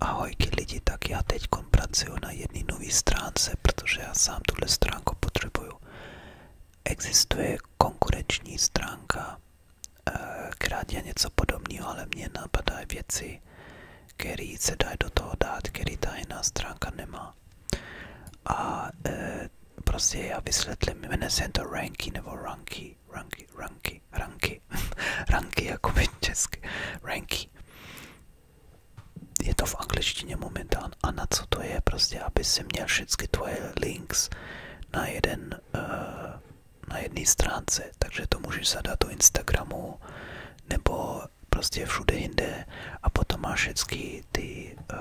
Ahojky lidi, tak já teď pracuji na jedné nové stránce, protože já sám tuhle stránku potřebuju. Existuje konkurenční stránka, eh, která je něco podobného, ale mě napadají věci, které se dají do toho dát, který ta jiná stránka nemá. A eh, prostě já vysvětlím, jmenuje se to Ranky nebo Ranky ranky, ranky, ranky, ranky, jako my česky, ranky. Je to v angličtině momentán a na co to je prostě, aby si měl všechny tvoje links na jeden, eh, na jedné stránce, takže to můžeš zadat do Instagramu nebo prostě všude jinde a potom máš všechny ty, eh,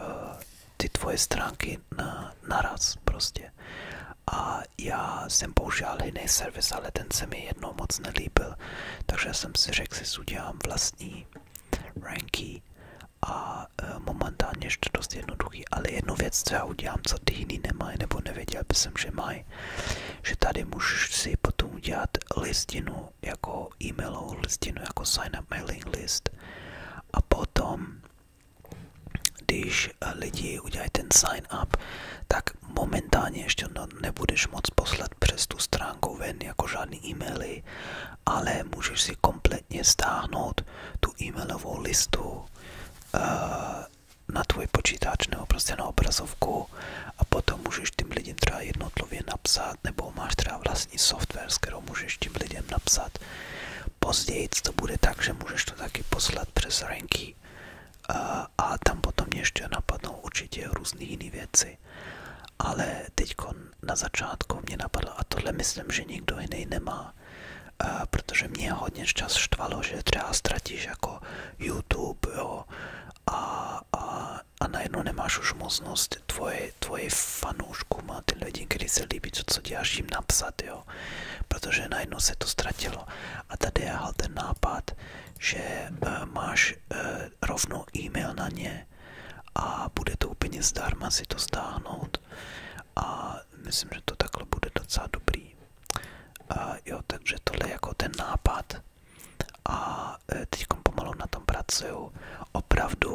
ty tvoje stránky na, naraz prostě a já jsem používal jiný servis, ale ten se mi jednou moc nelíbil, takže jsem si řekl, že si udělám vlastní ranky a e, momentálně ještě dost jednoduchý, ale jednu věc, co já udělám, co ty jiný nemají, nebo nevěděl jsem že mají, že tady můžeš si potom udělat listinu jako e-mailovou listinu, jako sign up mailing list a potom když eh, lidi udělají ten sign up, tak momentálně ještě no, nebudeš moc poslat přes tu stránku ven jako žádný e-maily, ale můžeš si kompletně stáhnout tu e-mailovou listu uh, na tvůj počítač nebo prostě na obrazovku a potom můžeš tím lidem třeba jednotlivě napsat nebo máš třeba vlastní software, s kterou můžeš tím lidem napsat. Později to bude tak, že můžeš to taky poslat přes ranky. a, a tam potom ještě napadnou určitě různé jiné věci. Ale teď na začátku mě napadlo, a tohle myslím, že nikdo jiný nemá, a, protože mě hodně čas štvalo, že třeba ztratíš jako YouTube jo, a, a a najednou nemáš už možnost tvoje, tvoje fanouškům a ty lidi, kteří se líbí, co, co děláš, jim napsat, jo. Protože najednou se to ztratilo. A tady je ten nápad, že uh, máš uh, rovnou e-mail na ně a bude to úplně zdarma si to stáhnout. A myslím, že to takhle bude docela dobrý. Uh, jo, takže tohle je jako ten nápad a e, teď pomalu na tom pracuju. Opravdu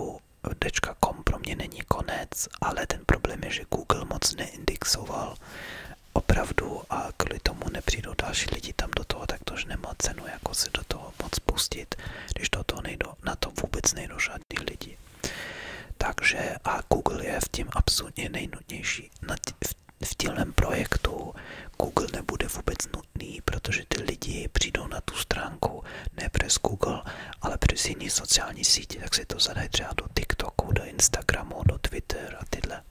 .com pro mě není konec, ale ten problém je, že Google moc neindexoval opravdu a kvůli tomu nepřijdou další lidi tam do toho, tak tož nemá cenu jako se do toho moc pustit, když do toho nejdou, na to vůbec nejdou žádný lidi. Takže a Google je v tím absolutně nejnutnější. v v tělem projektu Google nebude vůbec nutný, protože ty lidi přijdou na tu stránku ne přes Google, ale přes jiné sociální sítě, tak si to zadají třeba do TikToku, do Instagramu, do Twitter a tyhle.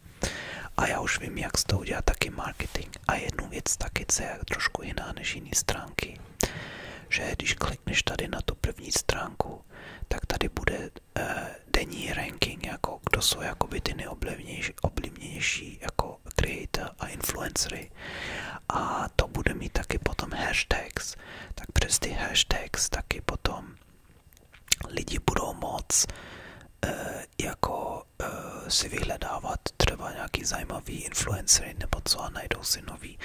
A já už vím, jak z toho udělat taky marketing. A jednu věc taky, co je trošku jiná než jiné stránky, že když klikneš tady na tu první stránku, tak tady bude eh, denní ranking, jako kdo jsou jakoby ty nejoblivnější jako creator a influencery a to bude mít taky potom hashtags, tak přes ty hashtags taky potom lidi budou moc eh, jako eh, si vyhledávat třeba nějaký zajímavý influencery nebo co a najdou si nový.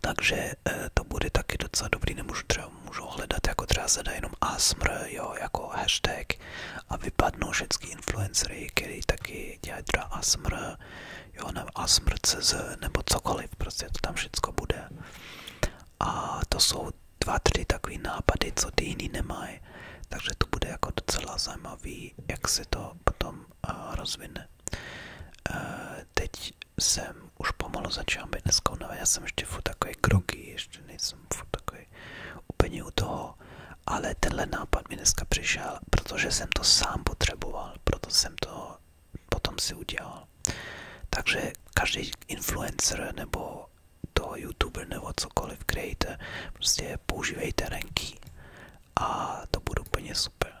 Takže eh, to bude taky docela dobrý, nemůžu třeba můžou hledat jako třeba se jenom ASMR, jo, jako hashtag a vypadnou všechny influencery, který taky dělají třeba ASMR, jo, nebo ASMR.cz nebo cokoliv, prostě to tam všechno bude. A to jsou dva, tři takový nápady, co ty jiný nemají, takže to bude jako docela zajímavý, jak se to potom uh, rozvine. Uh, teď jsem už pomalu začal být dneska unavený, já jsem ještě furt takový kroky, ještě nejsem furt takový úplně u toho, ale tenhle nápad mi dneska přišel, protože jsem to sám potřeboval, proto jsem to potom si udělal. Takže každý influencer nebo toho youtuber nebo cokoliv creator, prostě používejte ranky a to bude úplně super.